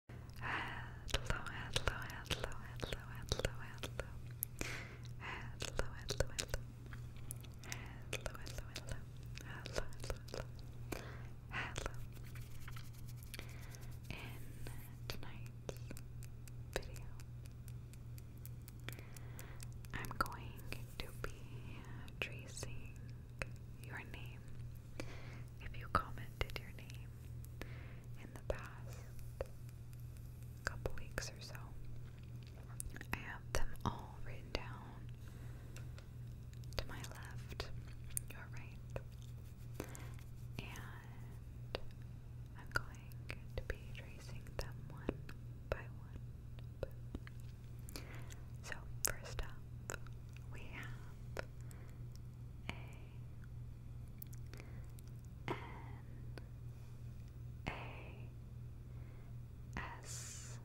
hello, hello, hello, hello, hello, hello. Hello, hello, hello. Hello, hello, hello. Hello, In tonight's video, I'm going to be tracing your name. If you commented your name, in the past couple weeks or so. I have them all written down to my left, your right, and I'm going to be tracing them one by one. So, first up, we have a N A S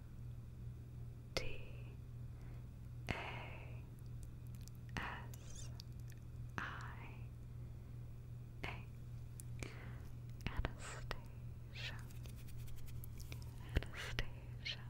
T A S I A Anastasia Anastasia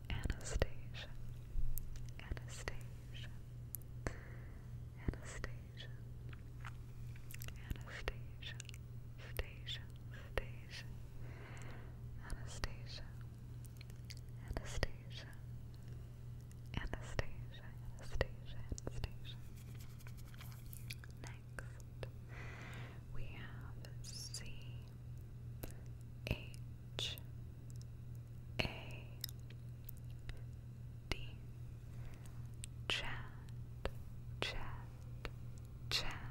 Anastasia, Anastasia, Anastasia, Anastasia, Stasia, Stasia, Anastasia, Anastasia, Anastasia, Anastasia, Anastasia. Next, we have C H A D Chat Chat Chat Chat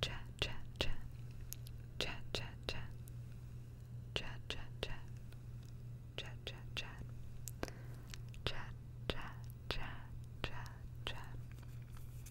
Chat Chat Chat Chat Chat Chat Chat Chat Chat Chat Chat Chat Chat Chat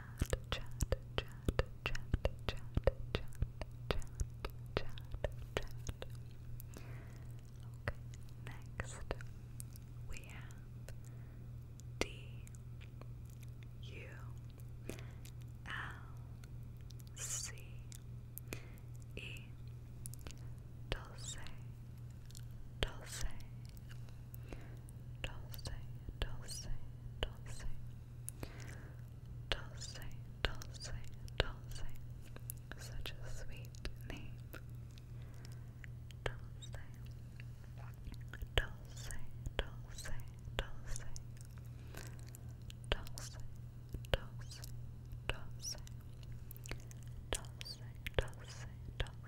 chat, chat, chat, chat, chat, chat, chat, chat, chat. Okay, next we have D U L C E Dulce Dulce Dulce Dulce Dulce Dulce, Dulce, Dulce, such a sweet name. Dulce, Dulce, Dulce, Dulce, Dulce, Dulce, Dulce, Dulce, Dulce, Dulce, Dulce, Dulce, Dulce.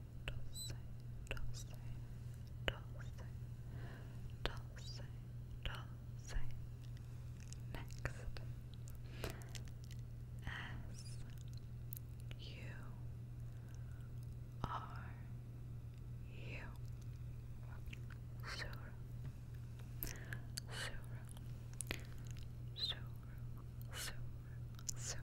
dulce, dulce, dulce, dulce, dulce. Next, S U R U Sur Sur Sur Sur Sur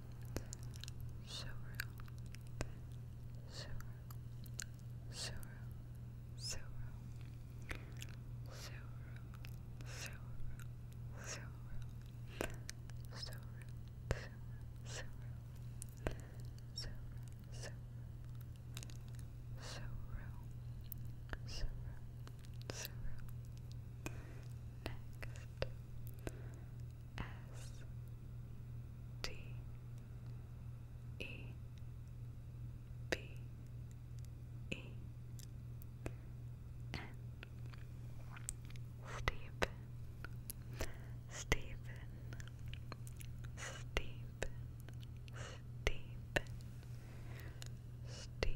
Suru, Suru, Suru, Suru, Suru, Suru, Suru, Suru, Suru, Suru, Suru, Suru, Suru, Suru. Next, S T E B E N Stephen Stephen Stephen Stephen Stephen Stephen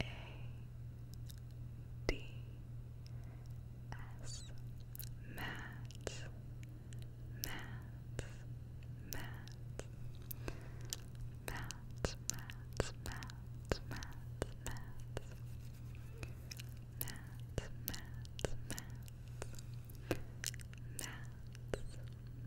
a D S Matt Matt Matt Matt Matt Matt Matt Matt Matt Matt Matt Matt Matt Matt Matt Matt Matt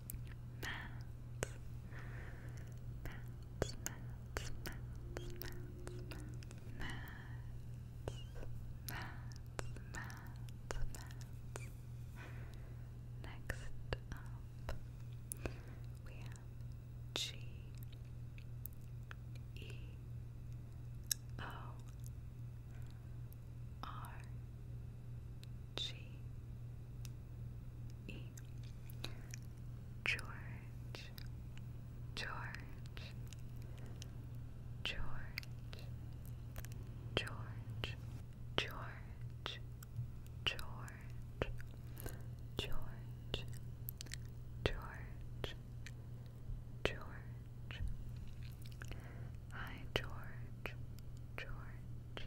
mats, mats, mats, mats, mats, mats, mats, Next up, we have G E O R G E George George George George George George George George George Hi George George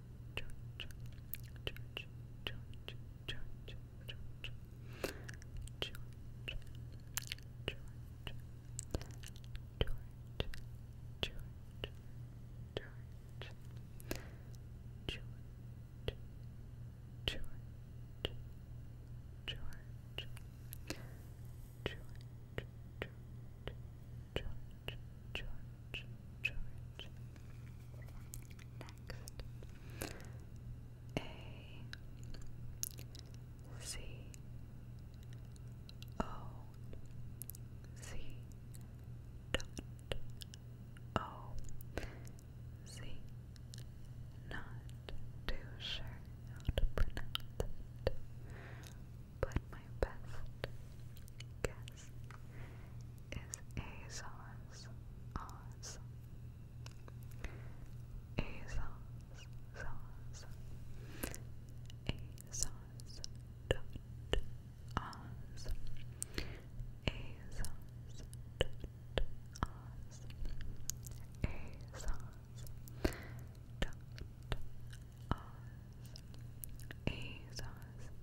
George, George, George, George, George, George, George, George, George, George, George, George, George, George, George, George, George, George, George. Next, A C O C dot O C. Not too sure how to but my best guess is Azos Oz. Azos Oz. Azos dot Oz. Azos dot Oz. Azos dot Oz. Azos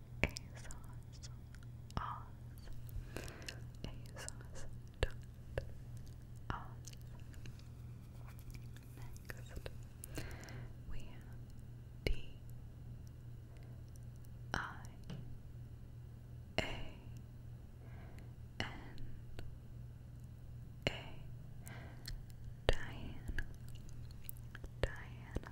ASOS Oz ASOS dot Oz Next we have D I A N A Diana Diana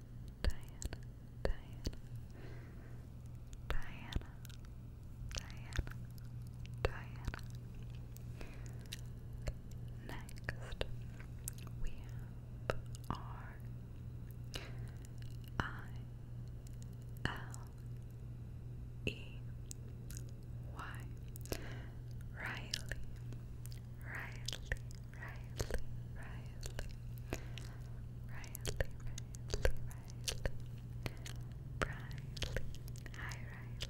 Diana, Diana, Diana, Diana, Diana. Next, we have R I L E Y Riley, Riley, Riley, Riley, Riley, Riley, Riley, Riley, hi Riley,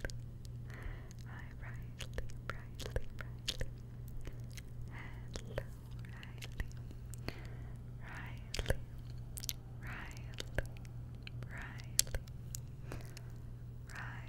hi Riley, Riley, Riley, hello Riley, Riley, Riley, Riley, Riley.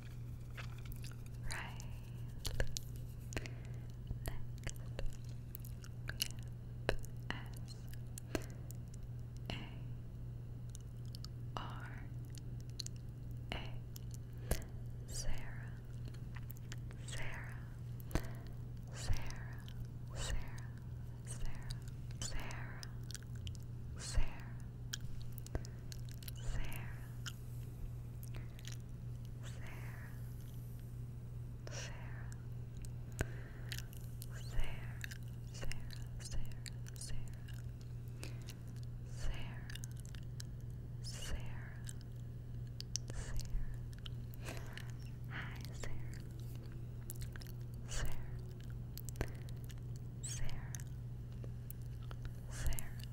Riley. Next, S A R A Sarah, Sarah, Sarah, Sarah, Sarah, Sarah, Sarah. Sarah, Sarah, Sarah, Sarah, Sarah, Sarah, Sarah, Sarah, Sarah, Sarah, Sarah, Sarah, Sarah, Sarah, Sarah,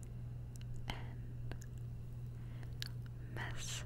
N Messin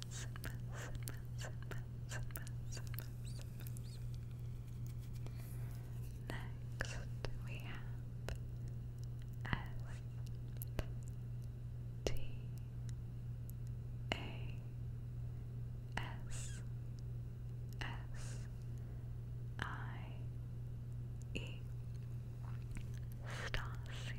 mess, and Next, we have S T A S S I E Stassi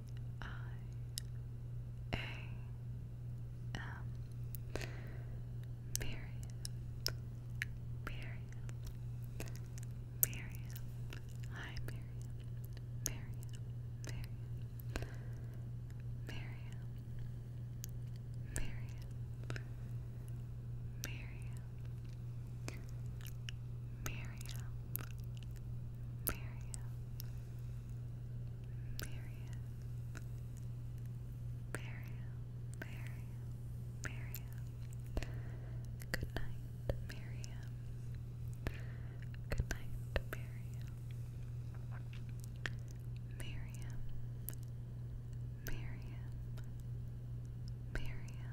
I A M Miriam Miriam Miriam Hi Miriam Miriam Miriam Miriam Miriam Miriam Miriam Miriam Miriam Marian, Marian, Marian, Marian. Good night, Marian. Good night, Miriam, Miriam, Miriam, Miriam,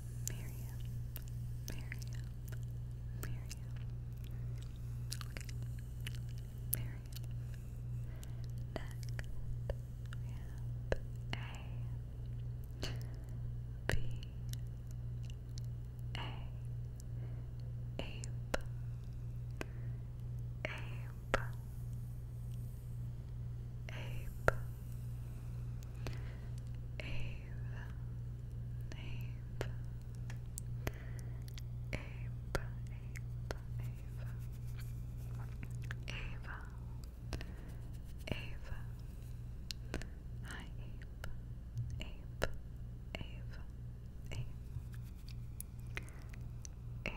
Miriam, Miriam, Miriam. Okay. Miriam. Next, we have A, B, A, Ape, Ape, Ape. Ava, Ava, hi Ape, Ape, Ava, Ape, Ape,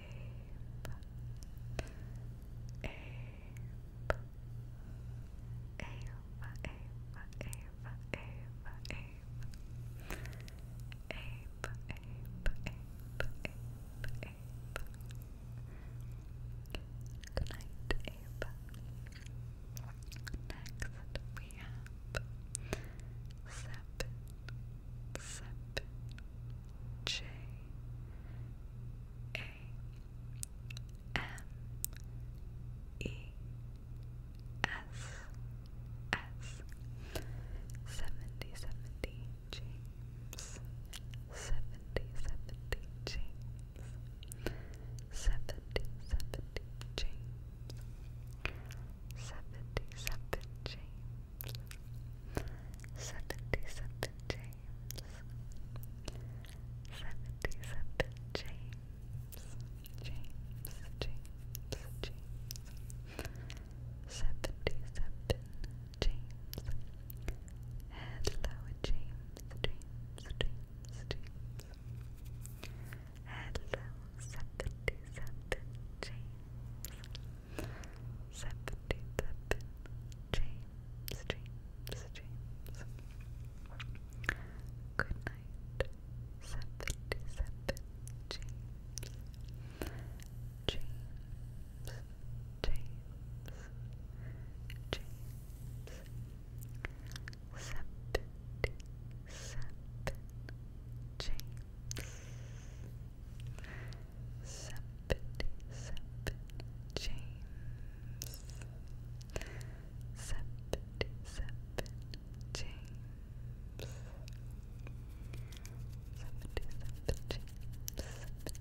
Next we have Sepp Sep S S seventy seventy James seventy seventy James seventy seventy James seventy seventy James Seventy seven James. Seventy seven James. James. James. James. Seventy seven James. Hello James. James. James. James. Hello seventy seven James. Seventy seven James James James Good night Seventy seven James James James James Seventy seven James seventy-seven James, seventy-seven James, seventy-seven James, seventy-seven James,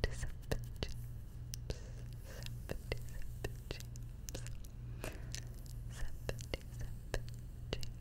seventy-seven James, seventy-seven James.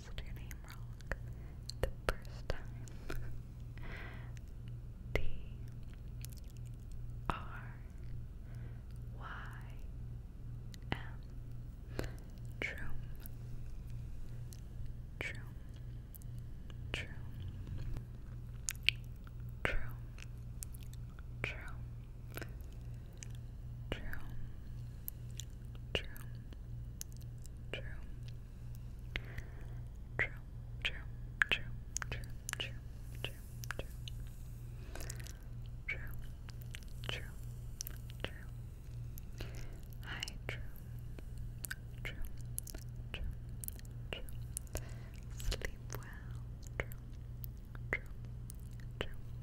pronounced your name wrong the first time. D R Y M Troom Troom Troom Troom Troom True. True. True. True. True. True. True. True. True. True. True. True. True. Hi, true. True. True. True. Sleep well. True. True. True.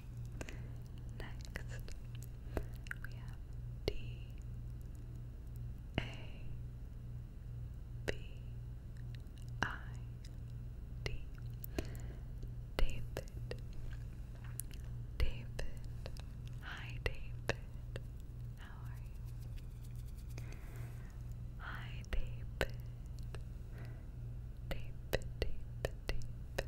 Next, we have D A B I D David David Hi David How are you? Hi David David David David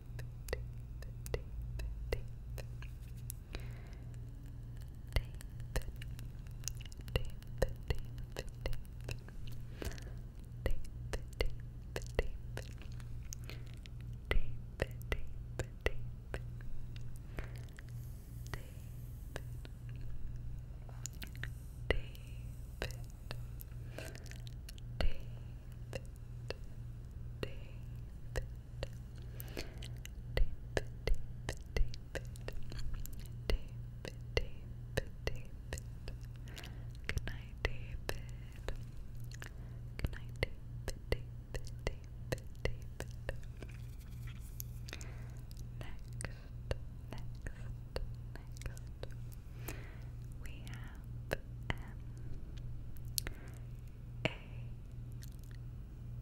David David, David, David, David, David, David, David. Good night, David. Good night, David, David, David, David. Next, next, next. We have F M A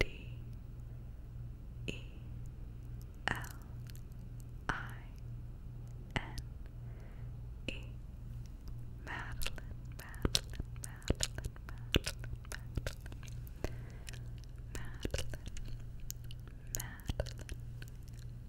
D E L I N E Madeline, Madeline, Madeline, Madeline, Madeline, Madeline, Madeline,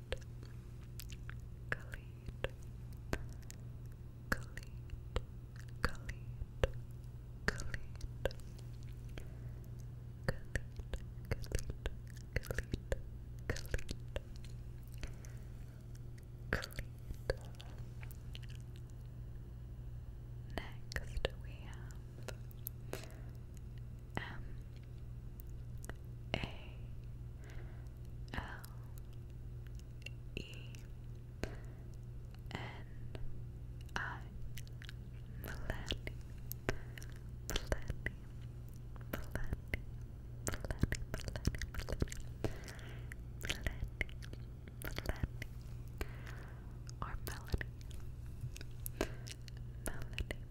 Khalid, Khalid, Khalid, Khalid, Khalid, Khalid, Khalid, Khalid. Next we have M A L E N I Melanie Melanie Melanie Melanie Melanie Melanie or Melanie Melanie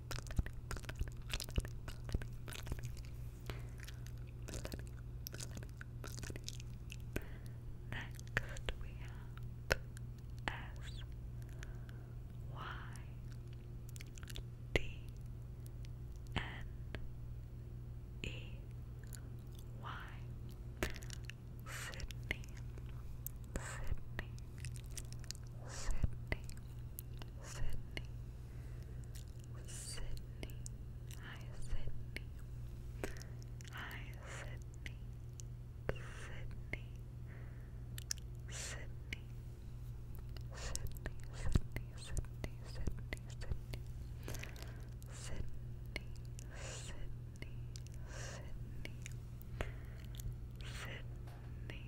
Next we have S Y D N E Y Sydney Sydney Sydney Sydney, Sydney, hi Sydney, hi Sydney, Sydney, Sydney, Sydney, Sydney, Sydney, Sydney, Sydney, Sydney, Sydney, Sydney, Sydney.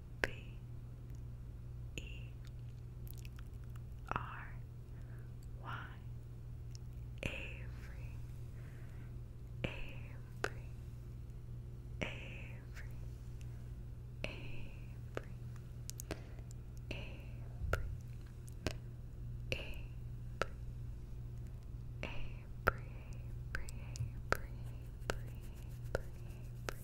B E R Y Avery Avery Avery Avery Avery Avery Avery Avery Avery Avery Avery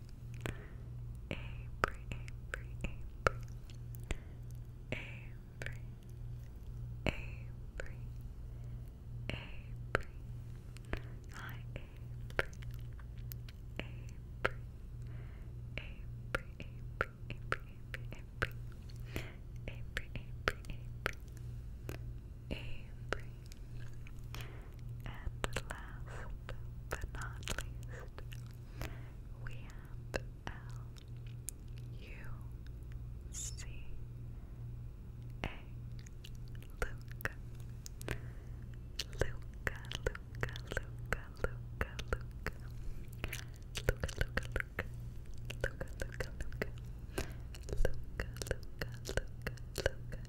Avery, Avery, and last but not least, we have L U C A Luca. Luca, Luca, Luca, Luca, Luca. Luca, Luca, Luca. Luca, Luca, Luca. Luca, Luca, Luca, luca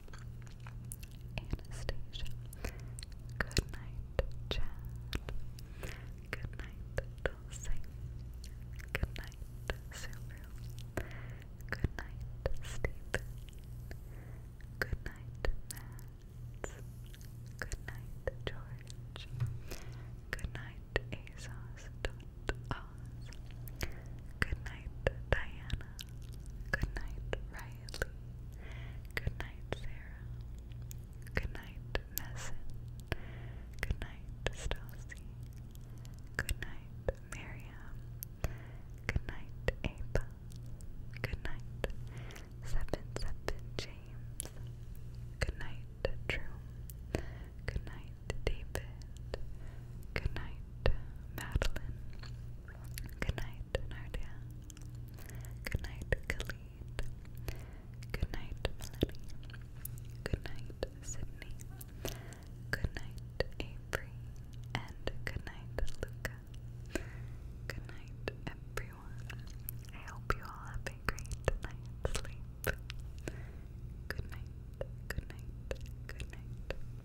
Anastasia. Good night, Chad. Good night, Dulce. Good night, Suru. Good night, Stephen. Good night, Matt. Good night, George. Good night, Azos. Good night, Diana. Good night, Riley. Good night, Sarah. Good night, Messin. Good night, Stassi. Good night, Miriam. Good night, Ava. Good night, Seven Seven James. Good night, Drew. Good night, David. Good night, Madeline. Good night, Nardia. Good night, Khalid. Good night, Melanie. Good night, Sydney. Good night, Avery. And good night, Luca. Good night, everyone. I hope you all have a great night's sleep. Good night, good night, good night.